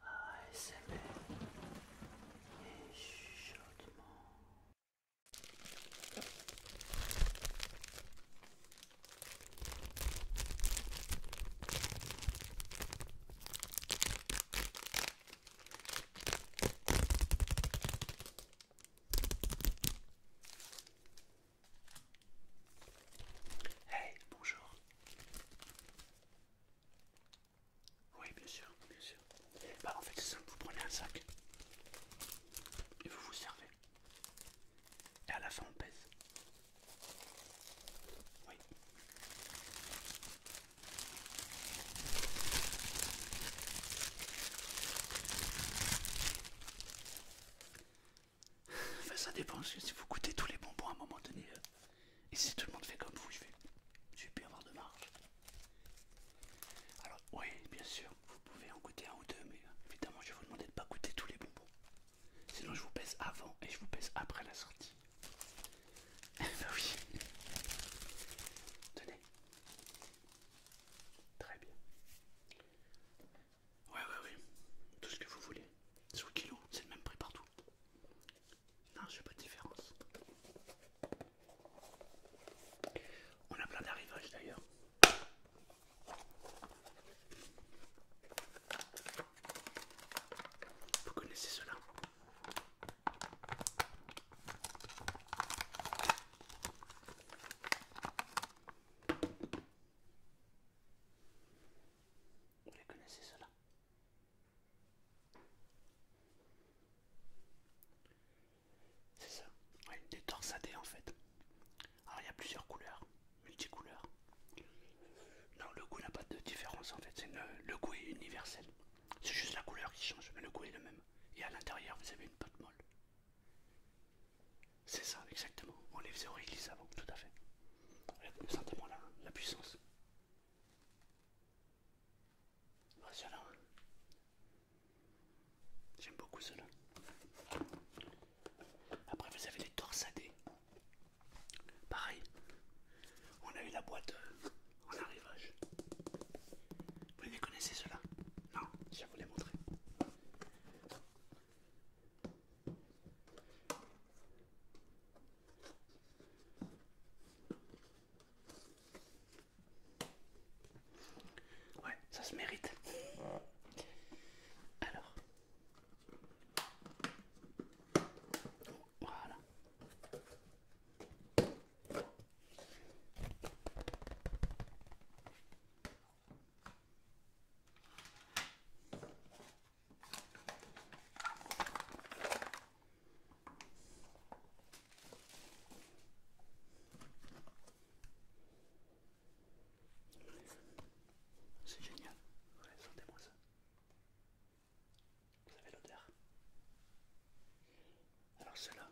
ASMR et chuchotement. Hey, bonjour. Oui, bien sûr, bien sûr. Bah, en fait, c'est simple, vous prenez un sac et vous vous servez. Et à la fin, on pèse. Oui. ça dépend, si vous coûtez tous les bonbons à un moment donné, euh, et si tout le monde fait comme vous, je vais, je vais plus avoir de marge. Alors oui, bien sûr, vous pouvez en goûter un ou deux, mais euh, évidemment je vais vous demander de ne pas goûter tous les bonbons. Sinon je vous pèse avant et je vous pèse après la sortie. Eh ben oui. Tenez. Très bien. Ouais, ouais, oui, Tout ce que vous voulez. Sous c'est le même prix partout. Non, je n'ai pas de différence. On a plein d'arrivages d'ailleurs. Vous connaissez cela Vous les connaissez cela c'est ça, des torsadés en fait. Alors il y a plusieurs couleurs, multicouleurs. Non, le goût n'a pas de différence en fait, le goût est universel. C'est juste la couleur qui change, mais le goût est le même. Et à l'intérieur, vous avez une pâte molle. C'est ça, exactement. On les faisait au réglisse avant, tout à fait. Sentez-moi la puissance. Oh, J'aime beaucoup cela. Après, vous avez les torsadés. Pareil. On a eu la boîte euh, en arrivage. Vous les connaissez ceux-là Non, je vais vous les montrer. Ouais, ça se mérite. Alors. Voilà. C'est génial. sentez-moi ça. Vous avez l'odeur. Alors cela.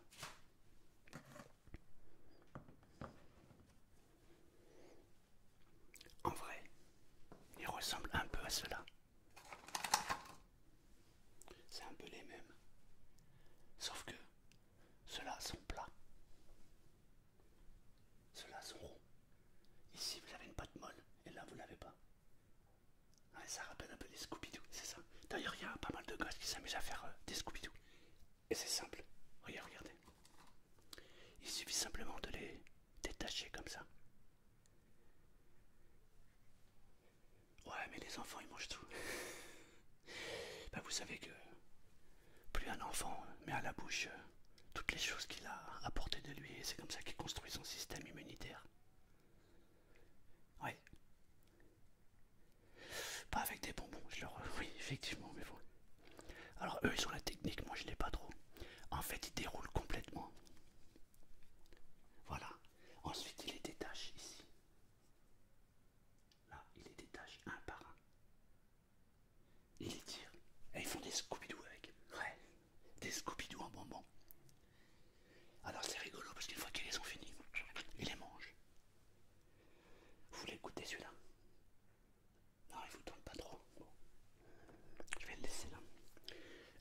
En vrai, ils ressemblent un peu à cela. C'est un peu les mêmes. Sauf que ceux-là sont plats. Ceux-là sont ronds. Ici, vous avez une pâte molle et là, vous l'avez pas. ça rappelle un peu les Scooby-Doo, c'est ça. D'ailleurs, il y a pas mal de gosses qui s'amusent à faire euh, des Scooby-Doo. Et c'est simple. Regardez, regardez. Il suffit simplement de les détacher comme ça. Ouais, mais les enfants, ils mangent tout. Bah vous savez que plus un enfant met à la bouche euh, toutes les choses qu'il a apportées de lui, et c'est comme ça qu'il construit son système immunitaire. Ouais. Pas avec des bonbons, je leur... Oui, effectivement, mais bon. Alors eux, ils ont la technique, moi je l'ai pas trop. En fait, ils déroulent complètement. Voilà. Ensuite, il les détache ici. Là, il les détache un par un. Il les tire. Et ils font des scooby avec. Ouais. Des scooby en bonbon. Alors c'est rigolo parce qu'une fois qu'ils les ont finis, ils les mangent. Vous voulez goûter celui-là non, il vous tourne pas trop. Je vais le laisser là.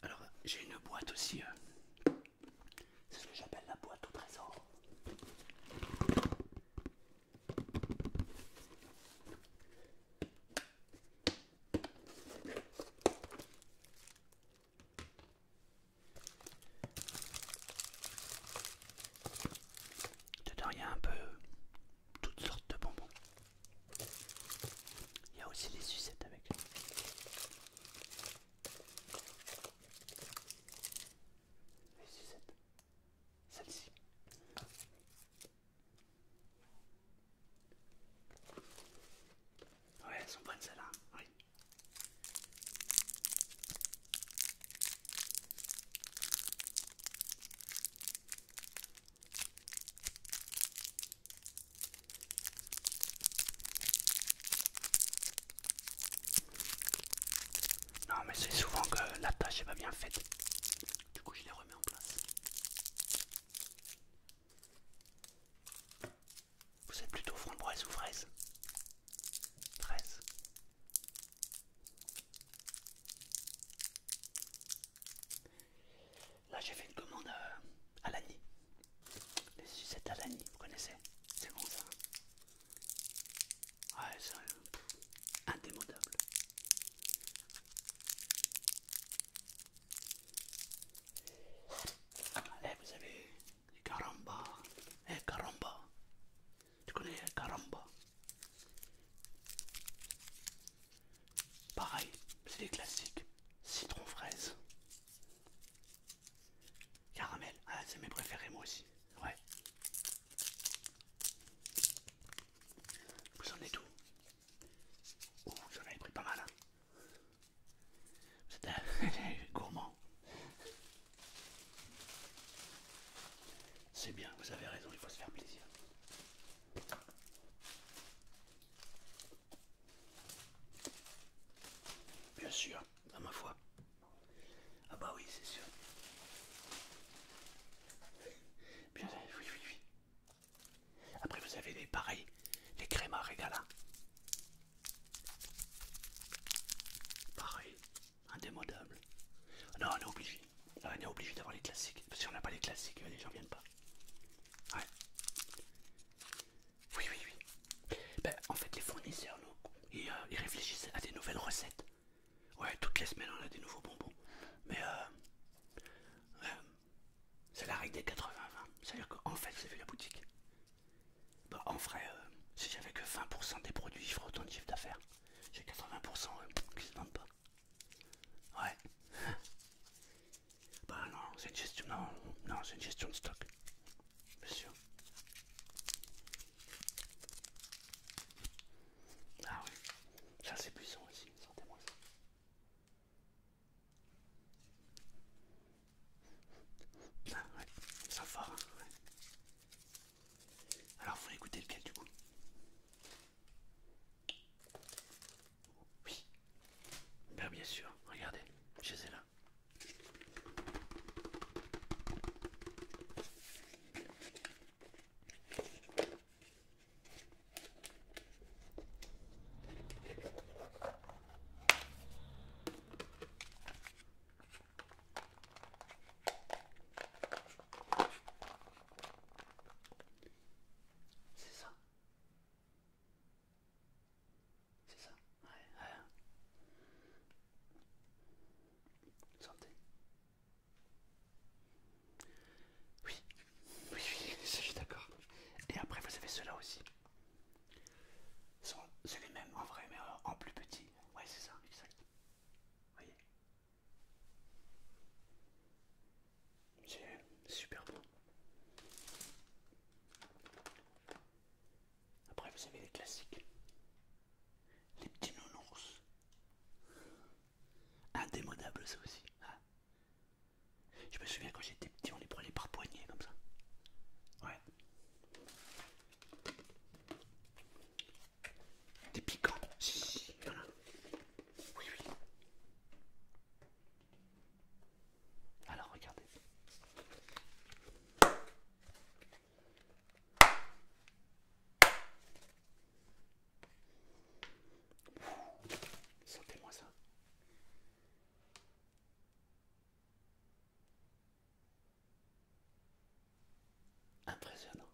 Alors, j'ai une boîte aussi. Euh. C'est ce que j'appelle la boîte au trésor. Dedans, il y a un peu toutes sortes de bonbons. Il y a aussi les sucettes avec. Les sucettes. Celle-ci. Ouais, elles sont bonnes celles-là. Non mais c'est souvent que la tâche n'est pas bien faite. Du coup je les remets en place. Vous êtes plutôt framboise ou fraise Fraise. Là, j'ai fait une commande euh, à l'année. Les sucettes à l'année, vous connaissez C'est bon ça Ah, euh, c'est indémodable. Allez, eh, vous avez les caramba. Eh, caramba. Tu connais caramba Pareil, c'est les classiques. Citron fraise. Caramel. Ah, c'est mes préférés moi aussi. Ouais. Vous en avez tout. Oh, j'en avais pris pas mal. Hein. êtes gourmand. C'est bien, vous avez raison, il faut se faire plaisir. Bien sûr, à ma foi. Ah bah oui, c'est sûr. Bien, oui, oui, oui. Après, vous avez les pareils, les crèmes à Pareil, indémodable. Non, on est obligé, ah, on est obligé d'avoir les classiques. Parce on n'a pas les classiques, euh, les gens viennent pas. Oui, oui, oui. Ben, en fait, les fournisseurs, euh, ils, réfléchissent à des nouvelles recettes. Ouais, toutes les semaines, on a des nouveaux bonbons. Mais euh, c'est la règle des 80-20. C'est-à-dire qu'en fait, vous avez la boutique. Ben, en vrai, si j'avais que 20% des produits, je autant de chiffre d'affaires. J'ai 80% qui se vendent pas. Ouais. bah non, c'est une gestion. Non, c'est gestion de stock. Bien sûr. Ah oui. Ça c'est puissant aussi, sentez-moi ça. Ah ouais, ça fort. Hein, Alors vous voulez écouter lequel du coup oui. bien bien sûr, regardez, je les là. C'est ça. C'est ça Ouais, ouais. Santé. Oui, oui, oui, je suis d'accord. Et après, vous avez ceux-là aussi. Celui-même en vrai, mais en plus petit. Ouais, c'est ça, exact. Vous voyez c'est super bon, Après, vous avez les classiques. Les petits nounours. Indémonables ça aussi. Ah. Je me souviens quand j'étais petit, on les prenait par poignée comme ça. Ouais. Des piquants. Oui, oui. Alors regardez. Sentez-moi ça. Impressionnant.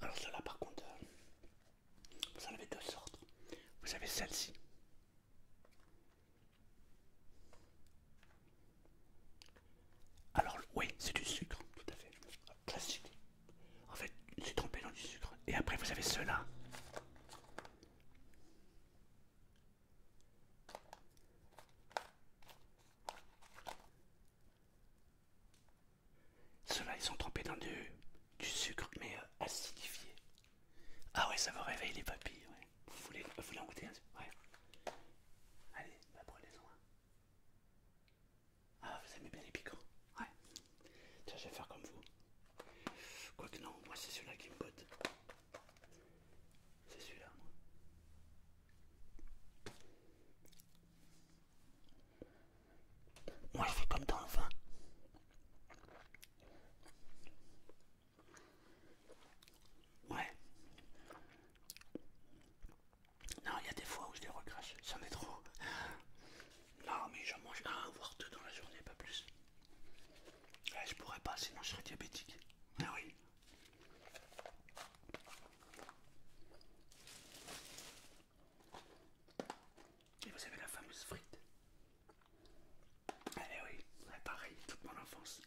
Alors cela, par contre, euh, vous en avez deux sortes. Vous avez celle-ci. Alors oui, c'est du sucre, tout à fait. Classique. En fait, c'est trompé dans du sucre. Et après, vous avez cela. Ceux-là, ils sont trempés dans du, sucre, mais euh, acidifié. Ah ouais, ça va réveiller les papilles, Vous voulez, vous en goûter un Allez, va bah, prendre en Ah, vous aimez bien les piquants Ouais. Tiens, je vais faire comme vous. Quoique non, moi c'est celui-là qui me botte. C'est celui-là, moi. Moi je fais comme dans le vin. Ouais. Non, il y a des fois où je les recrache. ça m'est trop. Non, mais j'en mange un, voire deux dans la journée, pas plus. je pourrais pas, sinon je serais diabétique. Ah oui. Et vous avez la fameuse frite. Eh oui, pareil, toute mon enfance.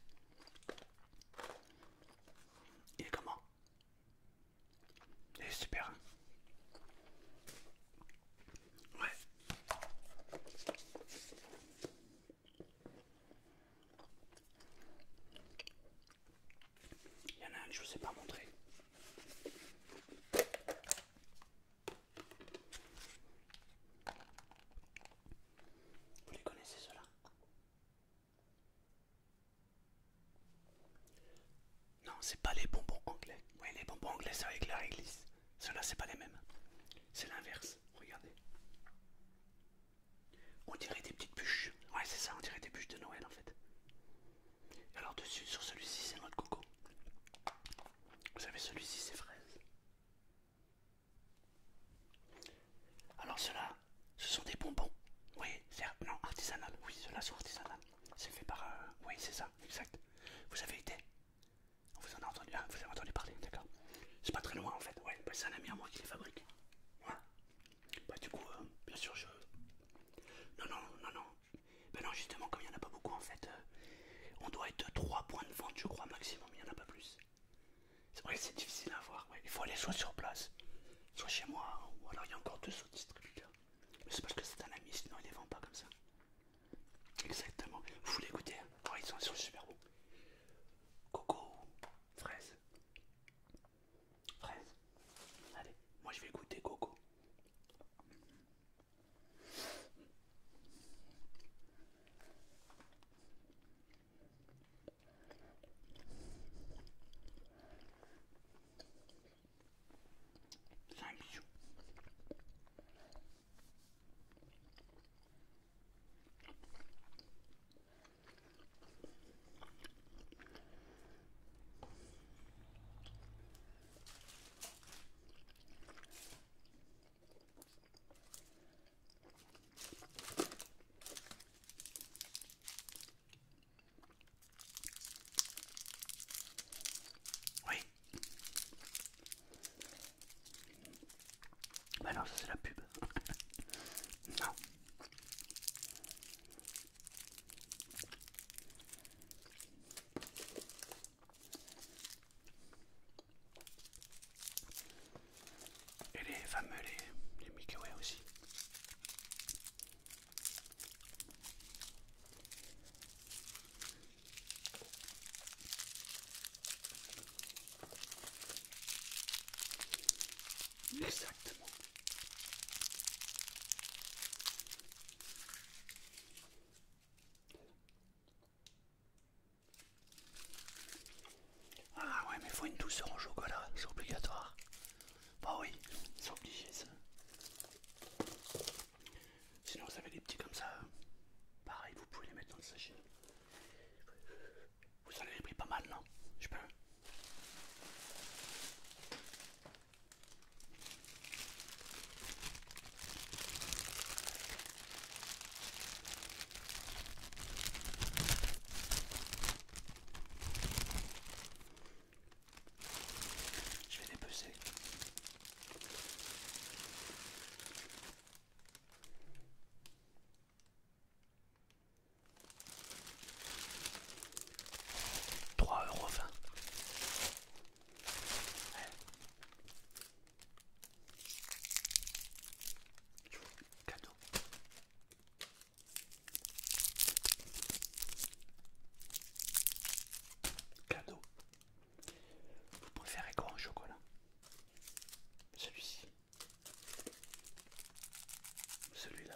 Et comment Il est super. Hein. ouais. Il y en a un que je ne vous ai pas montré. Vous les connaissez ceux-là Non, c'est pas les bonbons anglais. Oui, les bonbons anglais c'est avec la réglisse. Ceux-là, c'est pas les mêmes. C'est l'inverse. Regardez. On dirait des petites bûches. Ouais, c'est ça, on dirait des bûches de Noël en fait alors dessus, sur celui-ci, c'est notre coco. Vous savez, celui-ci, c'est fraise. Alors ceux-là, ce sont des bonbons. Oui, c'est non artisanal. Oui, ceux-là sont artisanal. C'est fait par... Euh, oui, c'est ça, exact. Vous avez été On vous en a entendu, hein, vous avez entendu parler, d'accord. C'est pas très loin en fait. Ouais, c'est un ami à moi qui les fabrique. Bah du coup, euh, bien sûr, je... Non, non, non, non. mais bah, non, justement, comme il n'y en a pas beaucoup, en fait, euh, on doit être 3 points de vente, je crois, maximum, il n'y en a pas plus. C'est vrai que c'est difficile à avoir, il faut aller soit sur place, soit chez moi, hein, ou alors il y a encore deux autres distributeurs. Mais c'est parce que c'est un ami, sinon il ne les vend pas comme ça. Exactement. Vous voulez goûter Ils sont, sur super Coco, fraise. Fraise. Allez, moi je vais goûter coco. Ça me bijou. Oui. Bah non, ça c'est la pub. non. Et les fameux, les, les Mickey aussi. Exactement. Ah ouais, mais faut une douceur au chocolat, c'est obligatoire. Bah oui, c'est obligé ça. Sinon vous avez des petits comme ça, pareil, vous pouvez les mettre dans le sachet. Vous en avez pris pas mal, non Je peux je vais dépecer. 3,20€. Cadeau. Cadeau. Vous préférez quoi au chocolat Celui-ci. Celui-là.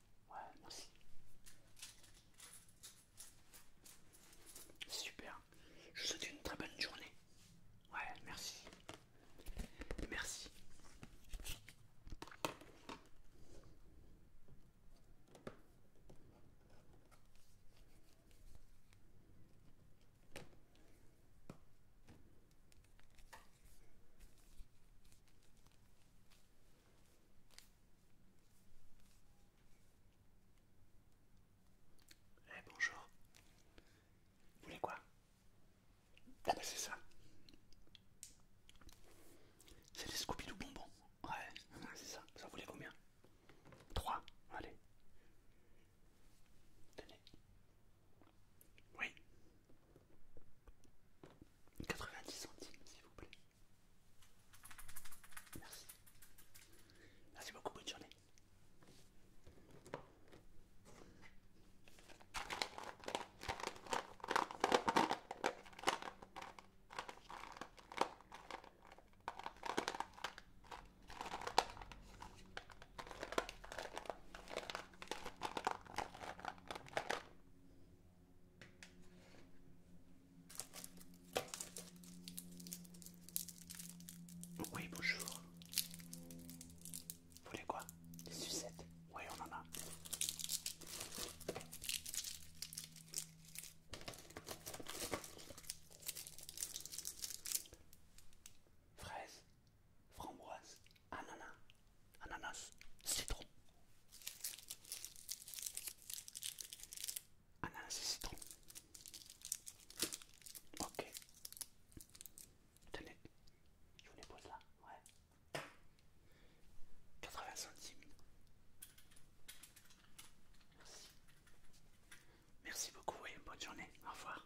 Ouais, merci. Super. Je vous souhaite une très bonne journée. Ouais, merci. Merci. Eh bonjour. Vous voulez quoi Ah bah c'est ça. C'est des Scooby-Doo bonbons. Ouais, c'est ça. Vous voulait combien 3 Allez. Tenez. Oui. 90 centimes, s'il vous plaît. Merci. Merci beaucoup, bonne journée. Oui, bonjour. Vous voulez quoi Des sucettes Oui, on en a. Fraise, framboise, ananas ananas, citron. Ananas et citron. Ok. Tenez, je vous les pose là. Ouais. 80 centimes. Merci. Merci beaucoup et bonne journée. Au revoir.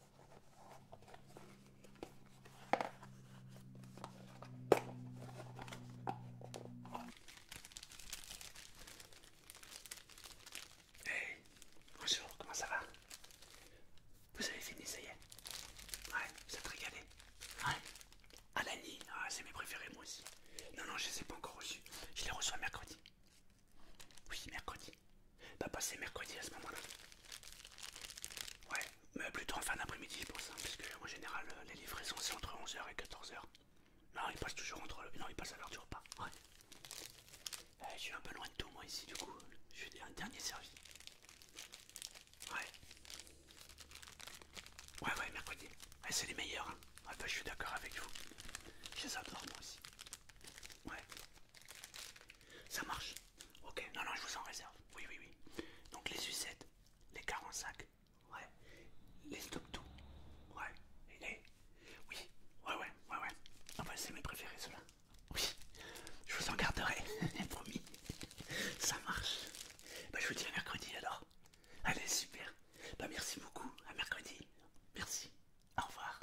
Hey, bonjour, comment ça va Vous avez fini, ça y est Ouais, vous êtes régalé Ouais Alani, ah, c'est mes préférés, moi aussi. Non, non, je les ai pas encore reçus. Je les reçois mercredi. Oui, mercredi va bah, passer mercredi à ce moment-là. Ouais, mais plutôt en fin d'après-midi je pense, hein, parce en général euh, les livraisons c'est entre 11h et 14h. Non, ils passent toujours entre... Non, il passe à l'heure du repas. Ouais. Eh, je suis un peu loin de tout moi ici du coup. Je suis un dernier servi. Ouais. Ouais, ouais, mercredi. Eh, c'est les meilleurs. Enfin, ah, bah, je suis d'accord avec vous. Je les adore moi aussi. Ouais. Ça marche Ok, non, non, je vous en réserve. Oui, oui, oui. Donc les sucettes, les 45, ouais. Les stop tout, ouais. Et les... Oui, ouais, ouais, ouais, ouais. Ah bah, c'est mes préférés ceux-là. Oui, je vous en garderai, promis. Ça marche. Bah je vous dis à mercredi alors. Allez, super. Bah merci beaucoup, à mercredi. Merci. Au revoir.